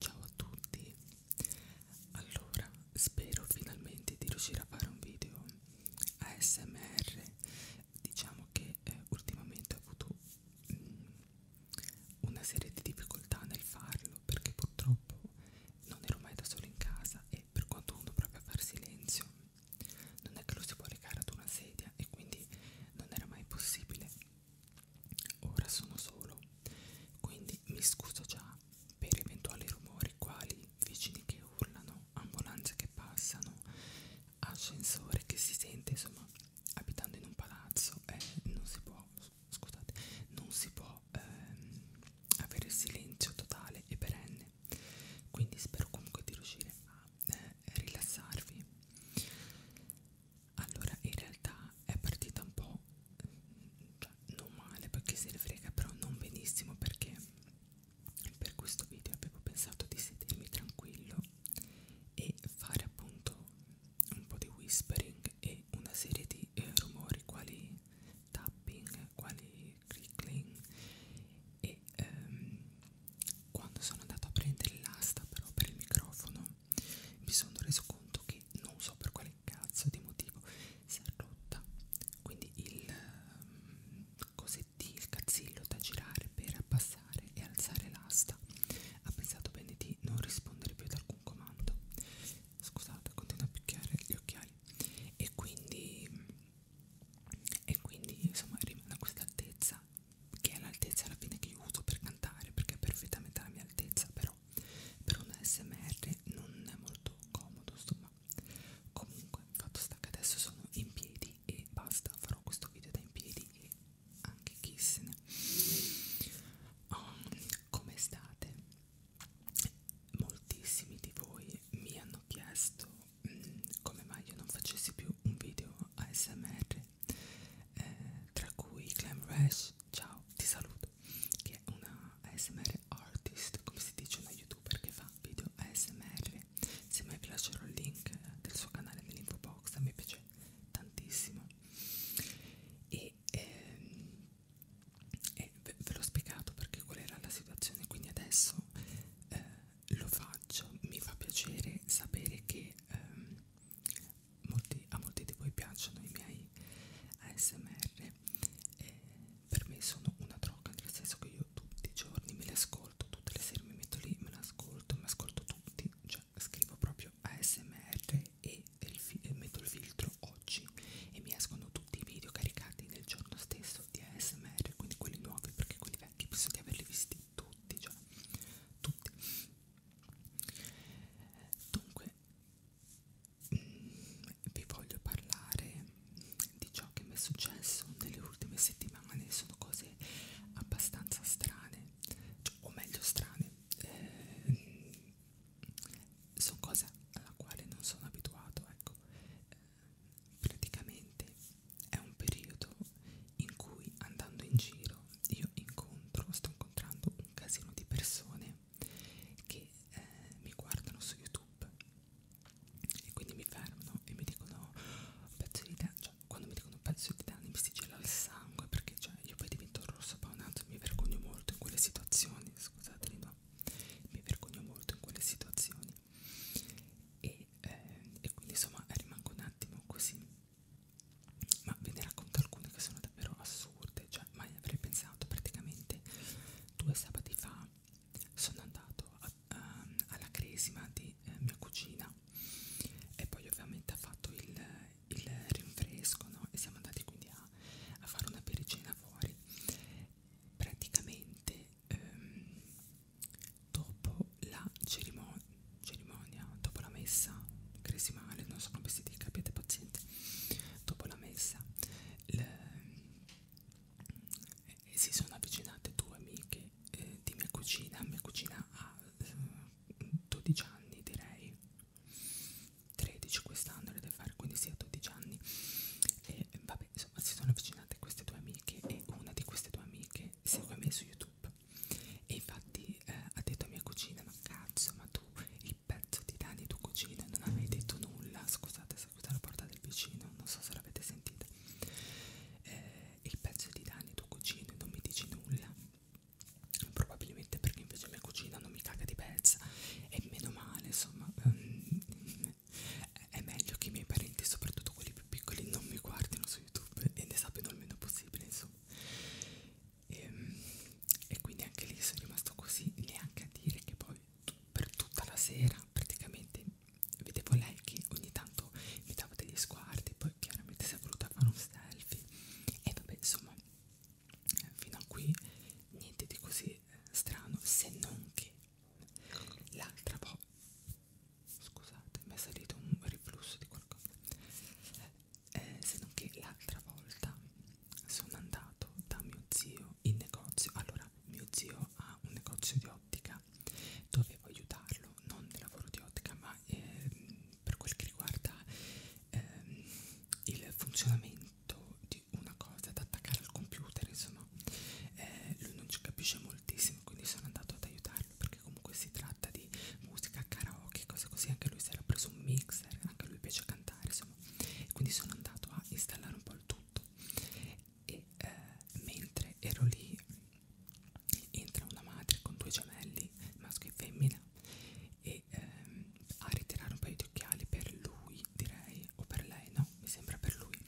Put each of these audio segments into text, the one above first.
Ciao a tutti, allora spero finalmente di riuscire a fare un video ASMR, diciamo che eh, ultimamente ho avuto mh, mm, una serie di difficoltà nel farlo perché purtroppo non ero mai da solo in casa e per quanto uno provi a far silenzio non è che lo si può legare ad una sedia e quindi non era mai possibile Ora sono solo, quindi mi scuso già per eventuali rumori quali vicini che urlano, ambulanze che passano, ascensore che si sente, insomma, abitando in un palazzo eh, non si può, scusate, non si può ehm, avere silenzio totale e perenne. Quindi spero comunque di riuscire a eh, rilassarvi allora in realtà è partita un po' cioè, non male perché se ne frega però non benissimo perché per questo video avevo pensato di sedermi tranquillo e fare appunto un po' di whispering e una serie di eh, rumori quali tapping, quali crickling e ehm, quando sono andato a prendere l'asta però per il microfono mi sono reso conto che non so per quale cazzo di motivo si è rotta quindi il um, ehm, cosettino, il cazzillo da girare per abbassare e alzare l'asta ha pensato bene di non rispondere più ad alcun comando scusate continua a picchiare gli occhiali e quindi e quindi insomma rimane a questa altezza che è l'altezza alla fine che io uso per cantare perché è perfettamente la mia altezza però per un smr non è molto comodo insomma comunque fatto sta che adesso sono in piedi e basta farò questo video da in piedi e anche chissene oh, ehm, come state moltissimi di voi mi hanno chiesto mh, mm, come mai io non facessi più un video ASMR eh, tra cui Clem Rash, ciao, ti saluto, che è una ASMR artist, come si dice una youtuber che fa video ASMR, se mai vi lascerò il link del suo canale nell'info box, a me piace tantissimo e, ehm, e ve, ve l'ho spiegato perché qual era la situazione, quindi adesso eh, lo faccio, mi fa piacere sapere che ehm, molti, a molti di voi piacciono i miei ASMR e per me sono una droga nel senso che io tutti i giorni me li ascolto tutte le sere mi metto lì me li ascolto mi ascolto tutti cioè scrivo proprio ASMR e, il e metto il filtro oggi e mi escono tutti i video caricati nel giorno stesso di ASMR quindi quelli nuovi perché quelli vecchi penso di averli visti tutti, cioè tutti. Dunque, vi voglio parlare di ciò che mi è successo nelle ultime settimane, sono cose abbastanza strane, cioè, o meglio strane, eh, sono cose alla quale non sono abituato, ecco, eh, praticamente è un periodo in cui andando in giro adesso io incontro, sto incontrando un casino di persone che eh, mi guardano su YouTube e quindi mi fermano e mi dicono pezzo di danni, cioè quando mi dicono pezzo di danni mi si gela il sangue perché cioè io poi divento rosso paonato e mi vergogno molto in quelle situazioni, scusatemi ma mi vergogno molto in quelle situazioni e, eh, e quindi insomma rimango un attimo così ma ve ne racconto alcune che sono davvero assurde, cioè mai avrei pensato praticamente due sabati fa sono andato a, a, ehm, alla cresima di eh, mia cucina e poi ovviamente ha fatto il, il rinfresco no? e siamo andati quindi a, a fare una pericena fuori praticamente ehm, dopo la cerimonia, cerimonia dopo la messa cresimale non so come si dica abbiate pazienza dopo la messa le, eh, si sono avvicinate due amiche eh, di mia cucina mia cucina ha eh, 12 anni direi 13 quest'anno le deve fare quindi si sì, ha 12 anni e vabbè insomma si sono avvicinate queste due amiche e una di queste due amiche segue me su youtube e infatti eh, ha detto a mia cucina ma cazzo ma tu tu il pezzo di Dani tu cucina non avevi detto nulla scusate se questa è la porta del vicino non so se l'avete sentita eh, il pezzo di Dani tu cucina non mi dici nulla probabilmente perché invece mia cucina non mi caga di pezza e meno male insomma um, è meglio che i miei parenti soprattutto quelli più piccoli non mi guardino su youtube e ne sappiano il meno possibile insomma e, ehm, e quindi anche lì sono rimasto così neanche a dire che poi per tutta la sera praticamente vedevo lei che ogni tanto mi dava degli sguardi poi chiaramente si è voluta fare un selfie e vabbè insomma fino a qui niente di così eh, strano se non che l'altra volta scusate mi è salito un riflusso di qualcosa eh, se non che l'altra volta sono andato da mio zio in negozio allora mio zio ha un negozio di ottica dovevo aiutarlo non nel lavoro di ottica ma eh, per quel che riguarda eh, il funzionamento di una cosa da attaccare al computer insomma eh, lui non ci capisce moltissimo quindi sono andato ad aiutarlo perché comunque si tratta di musica karaoke cose così anche lui si era preso un mix Baxter, anche a lui piace cantare, insomma. Quindi sono andato a installare un po' il tutto e eh, mentre ero lì entra una madre con due gemelli, maschio e femmina, e ehm, a ritirare un paio di occhiali per lui, direi, o per lei, no? Mi sembra per lui.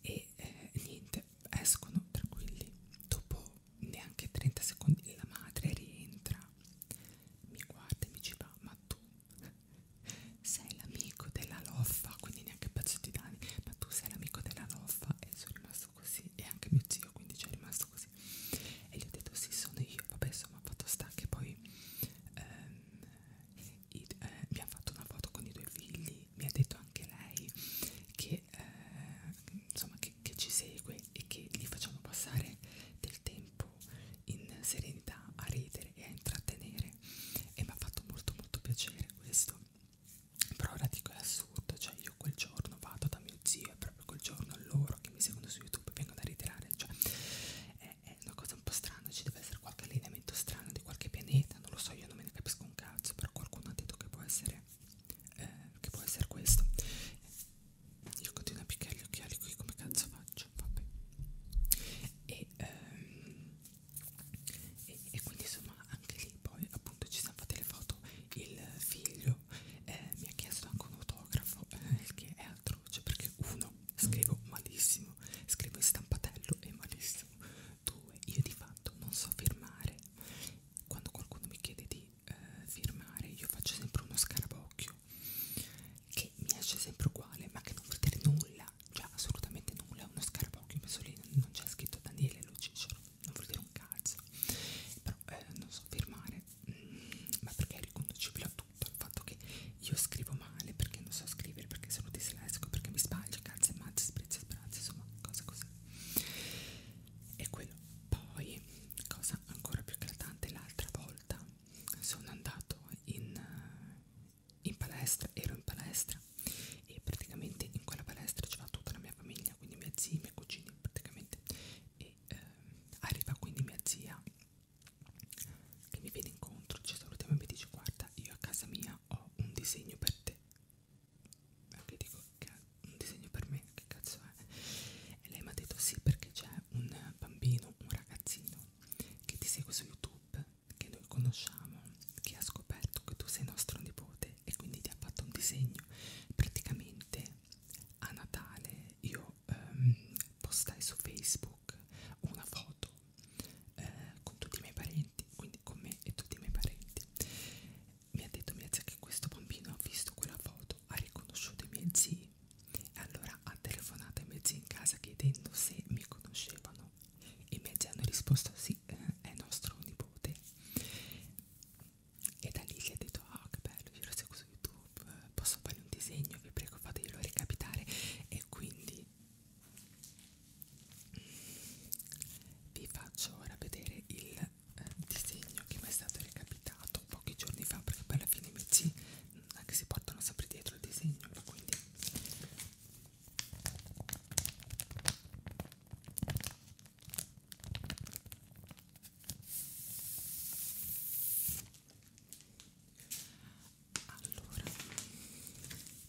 E eh, niente, escono tranquilli. Dopo neanche 30 secondi la madre rientra mi guarda e mi diceva ma tu sei l'amico della loffa quindi neanche pezzetti d'anni ma tu sei l'amico della loffa e sono rimasto così e anche mio zio quindi c'è cioè, rimasto così e gli ho detto sì sono io vabbè insomma fatto sta che poi ehm, i, eh, mi ha fatto una foto con i due figli mi ha detto anche lei che eh, insomma che, che ci segue e che gli facciamo passare del tempo tempo in serenità a ridere e a intrattenere e mi ha fatto molto molto piacere questo però ora dico è assurdo cioè io quel giorno vado da mio zio e proprio quel giorno loro che mi seguono su youtube vengono a ritirare cioè è, è una cosa un po' strana ci deve essere qualche allineamento strano di qualche pianeta non lo so io non me ne capisco un cazzo però qualcuno ha detto che può essere eh, che può essere questo io continuo a picchiare gli occhiali qui come cazzo faccio vabbè e, ehm, e, e quindi insomma anche lì poi appunto ci siamo fatte le foto il figlio eh, mi ha chiesto anche un autografo eh, il che è atroce perché uno scrivo malissimo scrivo in stampatello e malissimo due io di fatto non so firmare quando qualcuno mi chiede di eh, firmare io faccio sempre uno scarabocchio che mi esce sempre uguale ma che non vuol dire nulla cioè assolutamente nulla uno scarabocchio messo lì non c'è scritto Daniele lo Cicero non vuol dire un cazzo però eh, non so firmare mm, ma perché è riconducibile a tutto il fatto che io scrivo male perché non so scrivere perché sono dislessico perché mi sbaglio calze e mazze sprezzi e speranze insomma cose così e quello poi cosa ancora più eclatante l'altra volta sono andato in, eh, in palestra, ero in palestra e praticamente in quella palestra c'era tutta la mia famiglia, quindi mia zia, i miei cugini praticamente e eh, arriva quindi mia zia che mi viene incontro, ci salutiamo e mi dice guarda io a casa mia ho un disegno per te anche dico che è un disegno per me che cazzo è? E lei mi ha detto sì perché c'è un bambino, un ragazzino che ti segue su YouTube, che noi conosciamo, che ha scoperto che tu sei nostro nipote e quindi ti ha fatto un disegno. Praticamente a Natale io ehm, postai su Facebook una foto eh, con tutti i miei parenti, quindi con me e tutti i miei parenti. Mi ha detto mia zia che questo bambino ha visto quella foto fatto, ha riconosciuto i miei zii e allora ha telefonato ai miei zii in casa chiedendo se mi conoscevano e i miei zii hanno risposto sì, eh, è nostro nipote e da lì gli ha detto ah oh, che bello, io lo seguo su YouTube, posso fare un disegno, vi prego fateglielo recapitare e quindi mm, vi faccio ora vedere il eh, disegno che mi è stato recapitato pochi giorni fa perché poi alla fine i miei zii anche si portano sempre dietro il disegno quindi allora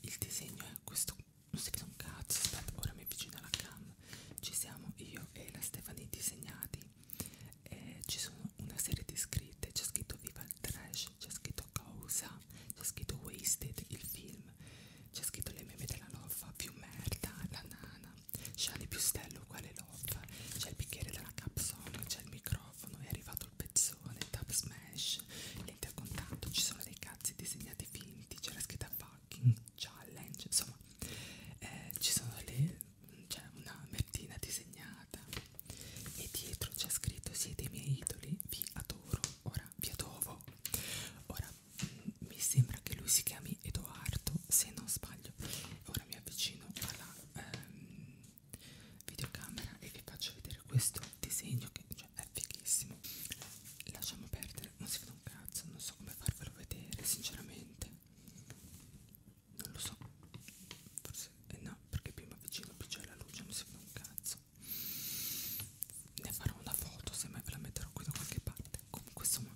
il disegno è questo non si vede un cazzo aspetta ora mi avvicino alla cam ci siamo io e la Stefani disegnati eh, ci sono una serie di scritte c'è scritto Viva il Trash c'è scritto Causa c'è scritto Wasted il film c'è scritto le meme della loffa più merda la nana Sciali più stello uguale loffa c'è il bicchiere della capsone c'è il microfono è arrivato il pezzone tap smash lente a contatto ci sono dei cazzi disegnati finti c'è la scritta fucking challenge insomma eh, ci sono le c'è una mertina disegnata e dietro c'è scritto siete i miei idoli, vi adoro, ora vi adovo. Ora mm, mi sembra che lui si chiami Edoardo, se non sbaglio. Ora mi avvicino alla ehm, videocamera e vi faccio vedere questo disegno che cioè, è fighissimo. Lasciamo perdere, non si vede un cazzo, non so come farvelo vedere, sinceramente non lo so forse eh no perché più mi avvicino più c'è la luce mi si vede un cazzo ne farò una foto se mai ve la metterò qui da qualche parte comunque insomma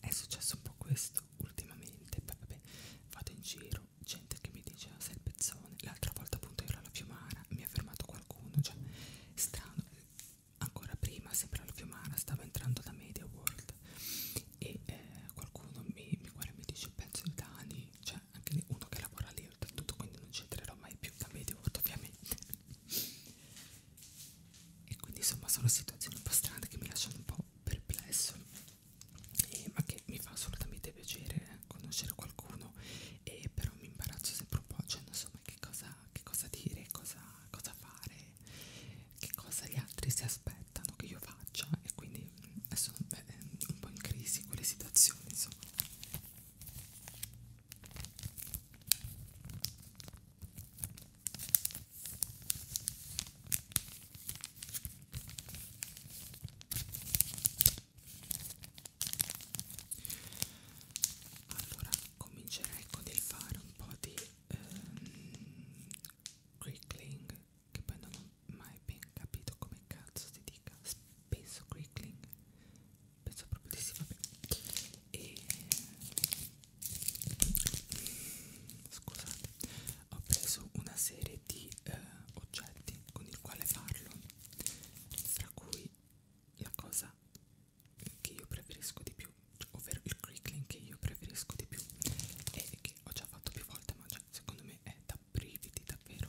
è successo un po' questo ultimamente poi vabbè vado in giro gente che mi dice ah, sei il pezzone l'altra volta appunto ero alla Fiumara mi ha fermato qualcuno cioè strano ancora prima sempre alla Fiumara stavo entrando da Media World e eh, qualcuno mi, mi guarda e mi dice pezzo di Dani, cioè anche uno che lavora lì oltretutto, quindi non ci entrerò mai più da Mediaworld ovviamente. e quindi insomma sono situazioni un po' strane che mi lasciano un po' perplesso, e, ma che mi fa assolutamente piacere eh, conoscere qualcuno, e però mi imbarazzo sempre un po', cioè non so mai che cosa, che cosa dire, cosa, cosa fare, che cosa gli altri si aspettano che io faccia e quindi eh, sono beh, un po' in crisi quelle situazioni insomma allora comincerei con il fare un po' di ehm, Crickling, che poi non ho mai ben capito come cazzo si dica, penso Crickling, penso proprio di sì, vabbè, e scusate, ho preso una serie di eh, oggetti con il quale farlo, tra cui la cosa che io preferisco di più ovvero il crickling che io preferisco di più e che ho già fatto più volte ma già, secondo me è da brividi davvero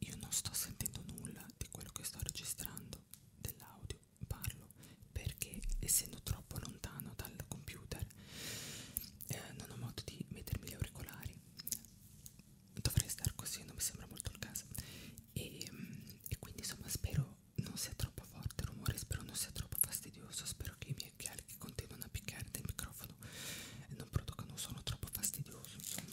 Io non sto sentendo nulla di quello che sto registrando dell'audio, parlo perché essendo troppo lontano dal computer eh, non ho modo di mettermi gli auricolari. Dovrei star così, non mi sembra molto il caso. E, mm, e quindi insomma spero non sia troppo forte il rumore, spero non sia troppo fastidioso, spero che i miei occhiali che continuano a picchiare del microfono non producano un suono troppo fastidioso, insomma.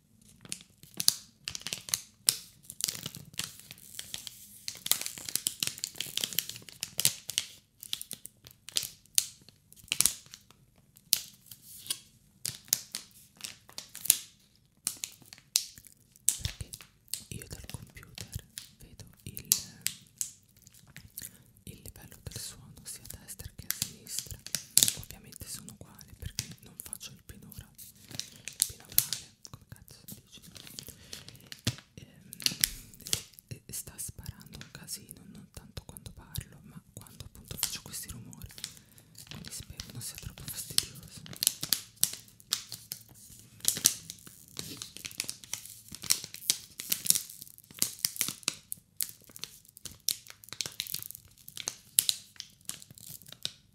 perché io dal computer vedo il, il livello del suono sia a destra che a sinistra ovviamente sono uguali perché non faccio il pinora il pinorale come cazzo si dice e, ehm, e sta sparando un casino non tanto quando parlo ma quando appunto faccio questi rumori quindi spero non sia troppo fastidioso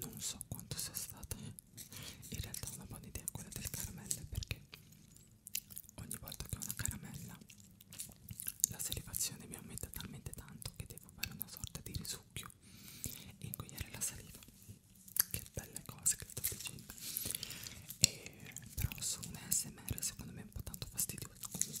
non so quanto sia stata in realtà una buona idea quella delle caramelle perché ogni volta che ho una caramella la salivazione mi aumenta talmente tanto che devo fare una sorta di risucchio e ingoiare la saliva che belle cose che sto dicendo e, però su un smr secondo me è un po' tanto fastidioso comunque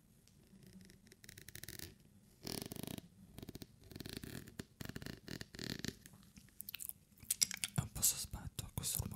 È un po' sospetto a questo rumore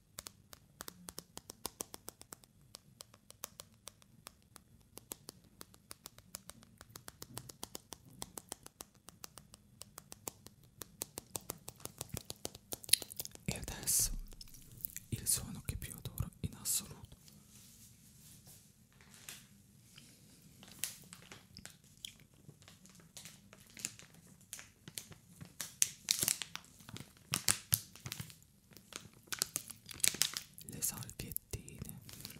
E adesso il suono che più adoro in assoluto le salviettine Buon odore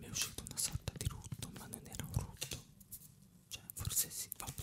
Mi è uscito una sorta di rutto, ma non era un rutto. Cioè, forse sì, vabbè.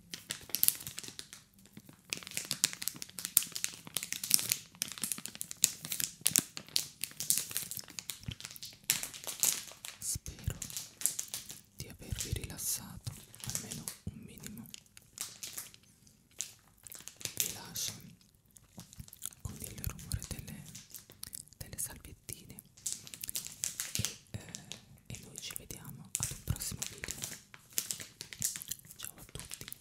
Spero di avervi rilassato almeno un minimo. Vi lascio con il rumore delle, delle salviettine e eh, e noi ci vediamo ad un prossimo video ciao a tutti